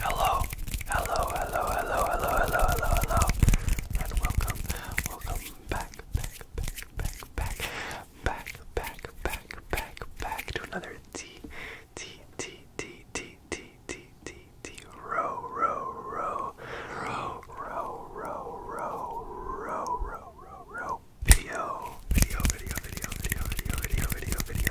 Hello, hello, hello, hello, hello, hello, hello, hello, and welcome, welcome back, back, back, back, back, back, back, back, back, back to another T, T, T, T, T, T, T, T, T, row, row, row, row, row, row, row, row, row, row, row, video, video, video, video, video, video, video, video, video.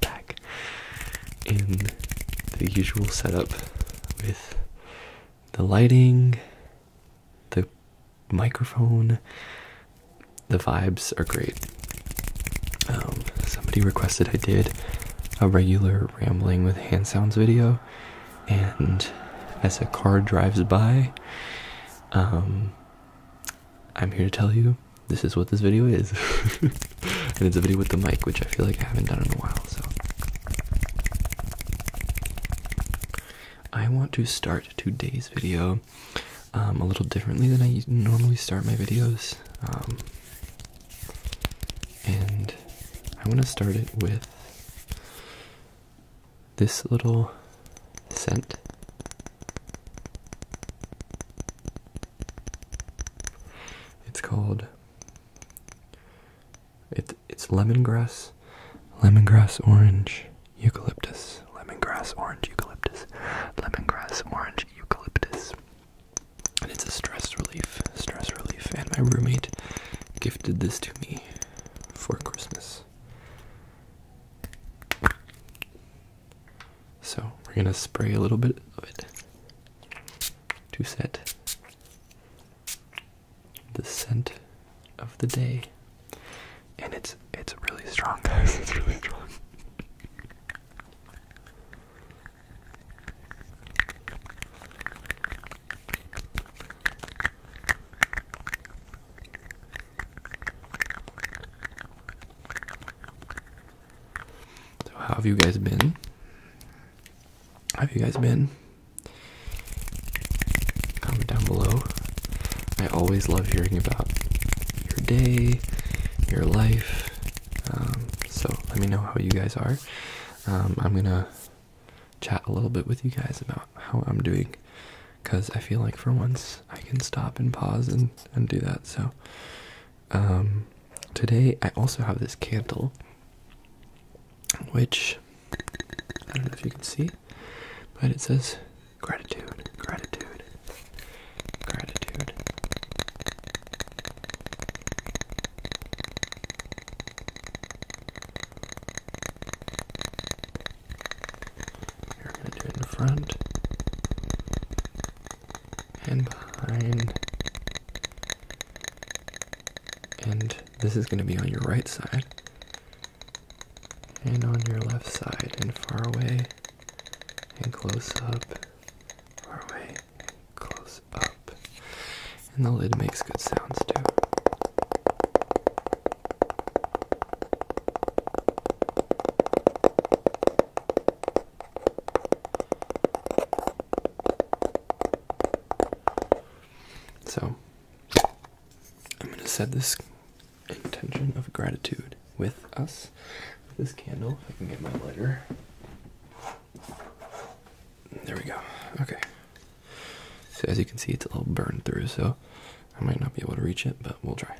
back in the usual setup with the lighting, the microphone. The vibes are great. Um, somebody requested I did a regular rambling with hand sounds video, and as a car drives by, um, I'm here to tell you this is what this video is. and it's a video with the mic, which I feel like I haven't done in a while, so. I want to start today's video um, a little differently than I normally start my videos. Um, and I want to start it with this little scent. It's called it it's lemongrass, lemongrass orange eucalyptus, lemongrass orange eucalyptus, lemongrass orange eucalyptus. And it's a stress relief, stress relief. And my roommate gifted this to me for Christmas. So we're gonna spray a little bit of it to set the scent of the day. And it's it's really strong guys, it's really strong. So how have you guys been? have you guys been? Comment down below. I always love hearing about your day, your life. Um, so let me know how you guys are. Um, I'm gonna chat a little bit with you guys about how I'm doing because I feel like for once I can stop and pause and, and do that. So um, today I also have this candle, which I don't know if you can see, but it says gratitude, gratitude, gratitude. You're going to do it in front and behind. And this is going to be on your right side. And on your left side, and far away, and close up, far away, close up. And the lid makes good sounds too. So, I'm going to set this intention of gratitude with us, with this candle. If I can get my lighter. There we go. Okay. So, as you can see, it's a little burned through, so I might not be able to reach it, but we'll try.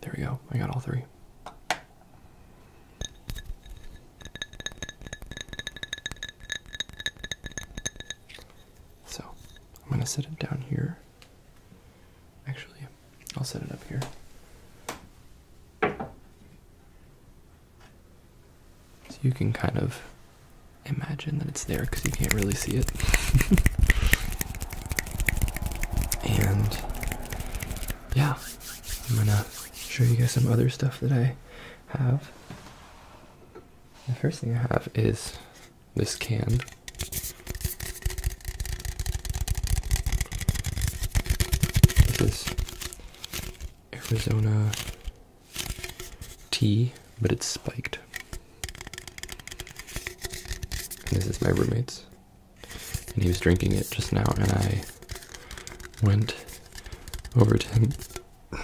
There we go. I got all three. So I'm going to set it down here. Actually, I'll set it up here. So you can kind of imagine that it's there because you can't really see it. and yeah, I'm gonna show you guys some other stuff that I have. The first thing I have is this can. This is Arizona tea, but it's spiked. this is my roommate's. And he was drinking it just now, and I went over to him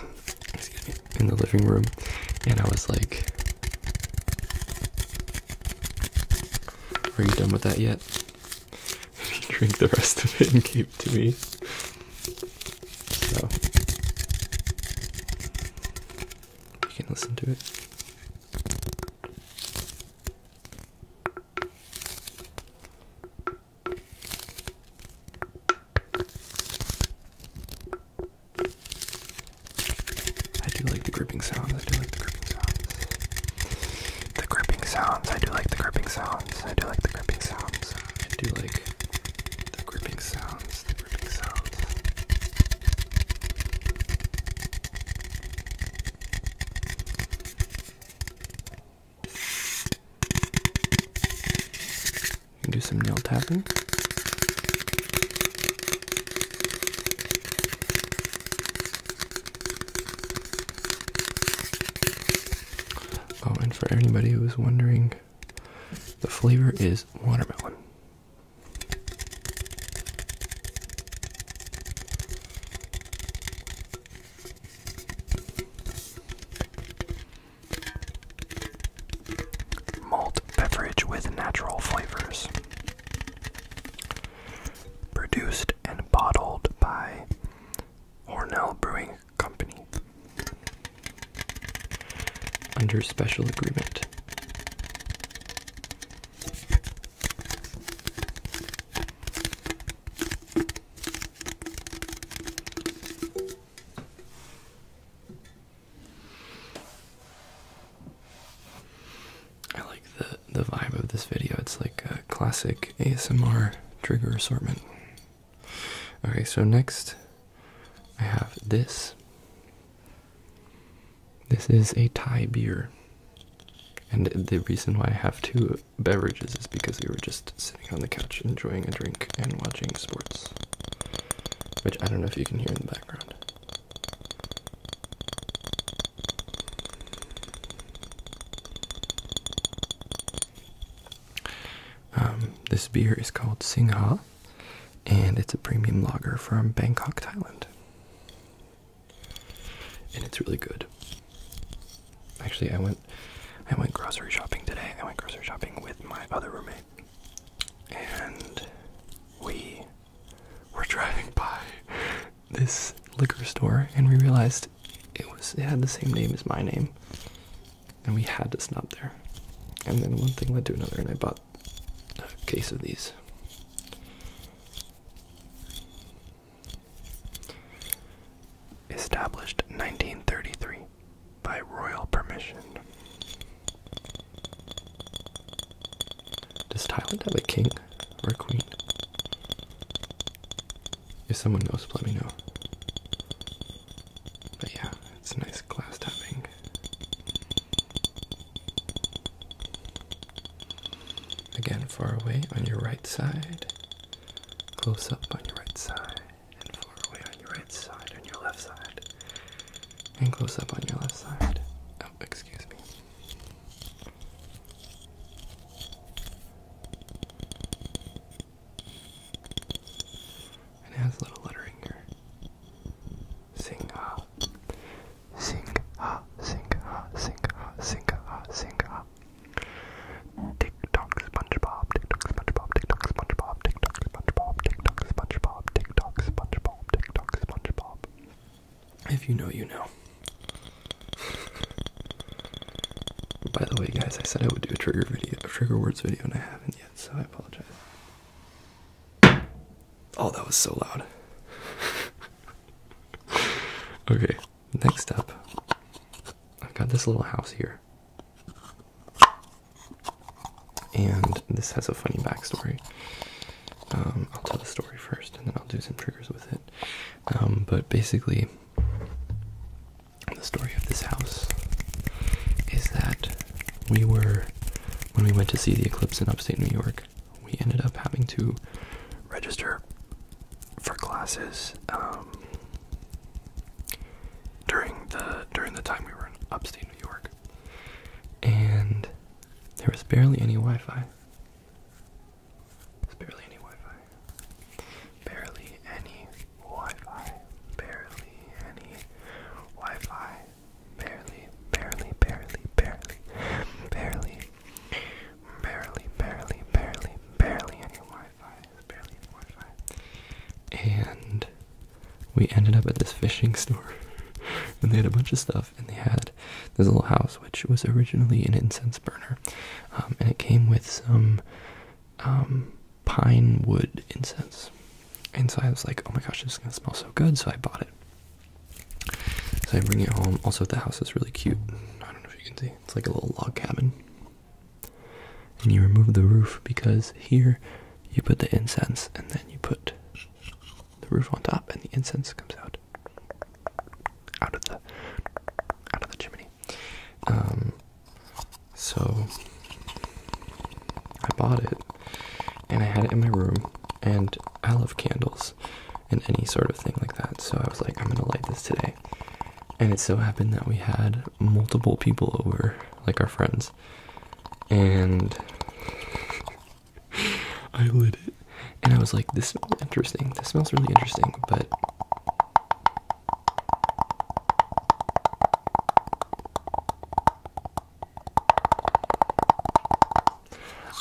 in the living room, and I was like, are you done with that yet? you Drink the rest of it and keep it to me. So you can listen to it. I do like the gripping sounds. I do like the gripping sounds. The gripping sounds. I do like the gripping sounds. I do like the gripping sounds. I do like the gripping sounds. The gripping sounds. You do some nail tapping. Oh, and for anybody who's wondering, the flavor is watermelon. Malt beverage with natural flavors. Produced and bottled by Hornell Brewing Company. Under special agreement. I like the the vibe of this video. It's like a classic ASMR trigger assortment. Okay, so next I have this. This is a Thai beer. And the reason why I have two beverages is because we were just sitting on the couch enjoying a drink and watching sports which I don't know if you can hear in the background. Um, this beer is called Singha, and it's a premium lager from Bangkok, Thailand. And it's really good. Actually, I went, I went grocery shopping today. I went grocery shopping with my other roommate, and we were driving by this liquor store and we realized it was it had the same name as my name and we had to stop there and then one thing led to another and i bought a case of these established 1933 by royal permission. Does Thailand have a king or a queen? If someone knows, let me know. But yeah, it's nice glass tapping. Again, far away on your right side, close up on your right side and far away on your right side and your left side, and close up on your left side. Oh, excuse me. it has little lettering here. Sing ha, sing ha, sing ha, sing ha, sing ha, sing ha. Tick SpongeBob, tick SpongeBob, tick SpongeBob, tick SpongeBob, TikTok, SpongeBob, TikTok, SpongeBob, TikTok, SpongeBob. If you know, you know. By the way, guys, I said I would do a trigger video, a trigger words video, and I haven't yet, so I apologize. Oh, that was so loud. okay, next up, I've got this little house here. And this has a funny backstory. Um, I'll tell the story first and then I'll do some triggers with it. Um, but basically, the story of this house is that we were, when we went to see the eclipse in upstate New York, we ended up having to register for classes um, during the during the time we were in upstate New York, and there was barely any Wi-Fi. barely any Wi-Fi. Barely any Wi-Fi. Barely any Wi-Fi. Barely, barely, barely, barely, barely, barely, barely, barely, barely any Wi and we ended up at this fishing store, and they had a bunch of stuff. And they had this little house, which was originally an incense burner, um, and it came with some um, pine wood incense. And so I was like, "Oh my gosh, this is gonna smell so good!" So I bought it. So I bring it home. Also, the house is really cute. I don't know if you can see. It's like a little log cabin. And you remove the roof because here you put the incense and then you put the roof on top and the incense comes out out of the out of the chimney. Um so I bought it and I had it in my room and I love candles and any sort of thing like that. So I was like I'm going to light this today. And it so happened that we had multiple people over like our friends. And I lit it. And I was like, this smells interesting. This smells really interesting, but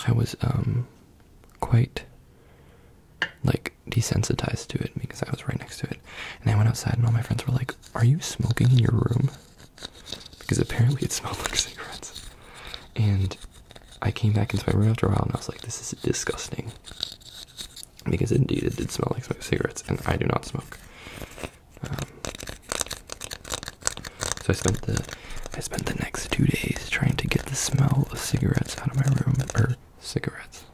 I was um quite like desensitized to it because I was right next to it. And I went outside and all my friends were like are you smoking in your room? Because apparently it smelled like cigarettes. And I came back into my room after a while and I was like, this is disgusting. Because indeed it did smell like cigarettes, and I do not smoke. Um, so I spent the I spent the next two days trying to get the smell of cigarettes out of my room, or cigarettes,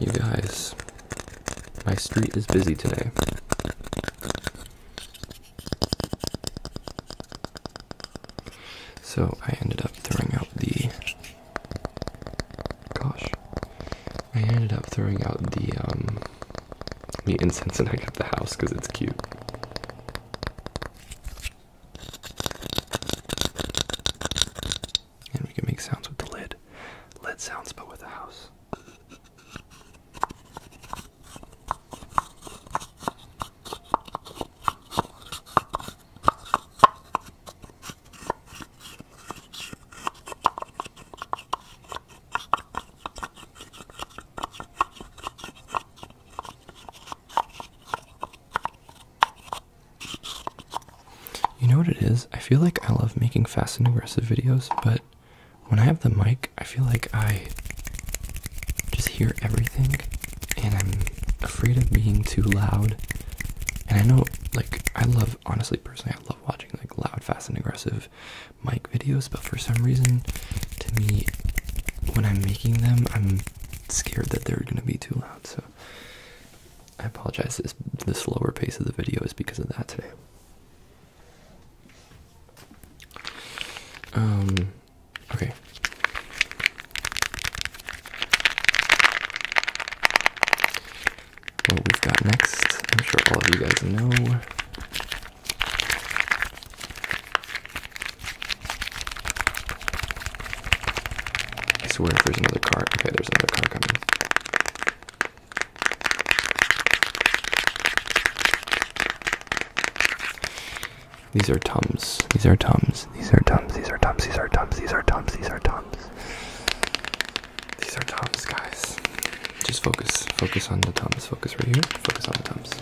you guys, my street is busy today. So I ended up throwing out the. Gosh. I ended up throwing out the, um. The incense and I got the house because it's cute. And we can make sounds with the lid. Lid sounds, but with a house. You know what it is? I feel like I love making fast and aggressive videos, but when I have the mic, I feel like I just hear everything and I'm afraid of being too loud. And I know, like, I love, honestly, personally, I love watching, like, loud, fast, and aggressive of mic videos, but for some reason, to me, when I'm making them, I'm scared that they're gonna be too loud. So I apologize. This the slower pace of the video is because of that today. Um. Okay. What we've got next, I'm sure all of you guys know, I swear if there's another car. Okay, there's another car coming. These are tums. These are tums. These are tums. These are tums. These are tums. These are tums. These are tums. These are tums, guys. Just focus. Focus on the tums. Focus right here. Focus on the tums.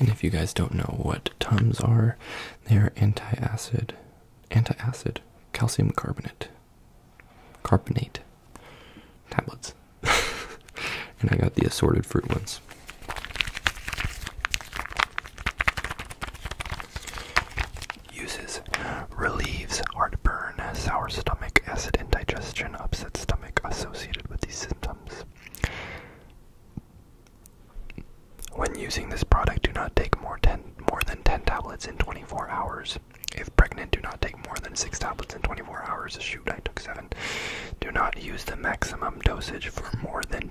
And if you guys don't know what Tums are, they are anti-acid, anti-acid calcium carbonate, carbonate tablets. and I got the assorted fruit ones. Uses relieves heartburn, sour stomach, acid indigestion, upset stomach associated with these symptoms. When using this product, do not take more, than 10 tablets in 24 hours. If pregnant, do not take more than 6 tablets in 24 hours. Shoot, I took 7. Do not use the maximum dosage for more than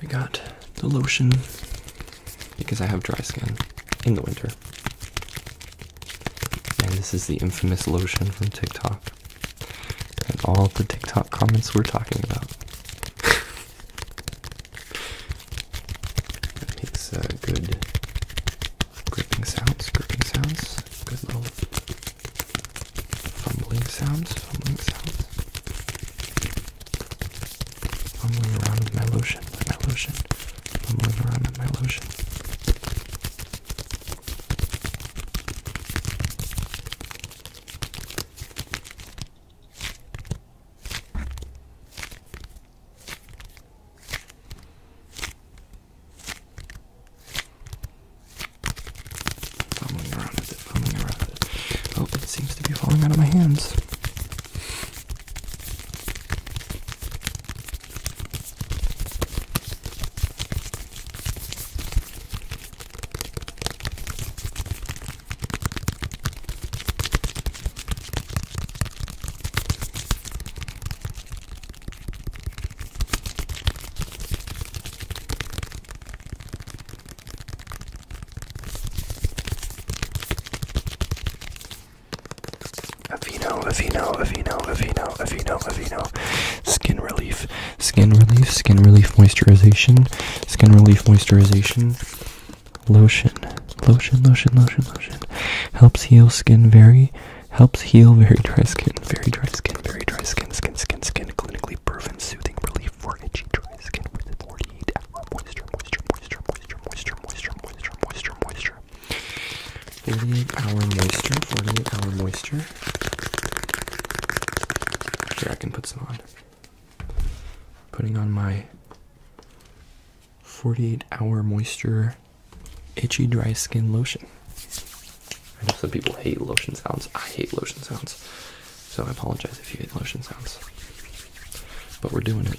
we got the lotion because I have dry skin in the winter. And this is the infamous lotion from TikTok. And all the TikTok comments we're talking about. that makes uh, good gripping sounds, gripping sounds. Good little fumbling sounds, fumbling sounds. Fumbling around with my lotion, with my lotion. Fumbling around with my lotion. Fumbling around with it, fumbling around with it. Oh, it seems to be falling out of my hands. Avino, Avino, Avino, Avino, Avino, Avino. Skin relief, skin relief, skin relief moisturization, skin relief moisturization. Lotion, lotion, lotion, lotion, lotion. Helps heal skin very, helps heal very dry skin, very dry skin, very dry skin, skin, skin, skin. Clinically proven soothing relief a foragey skin 48 hour moisture, moisture, moisture, moisture, moisture, moisture, moisture, moisture, moisture. 48 hour moisture, 48 hour moisture. Here, I can put some on. Putting on my 48 hour moisture itchy dry skin lotion. I know some people hate lotion sounds. I hate lotion sounds. So I apologize if you hate lotion sounds. But we're doing it.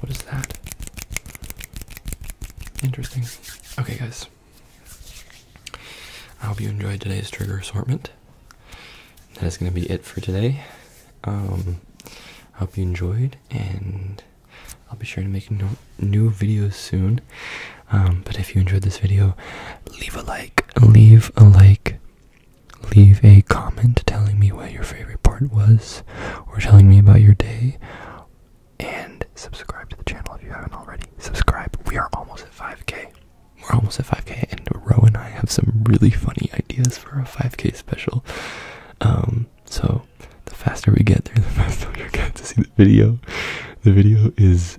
What is that? Interesting. Okay, guys. I hope you enjoyed today's trigger assortment. That is going to be it for today. Um, I hope you enjoyed, and I'll be sure to make no new videos soon. Um, but if you enjoyed this video, leave a like, leave a like, leave a comment telling me what your favorite part was or telling me about your day and subscribe to the channel if you haven't already subscribe we are almost at 5k we're almost at 5k and roe and i have some really funny ideas for a 5k special um so the faster we get there the faster you're going to see the video the video is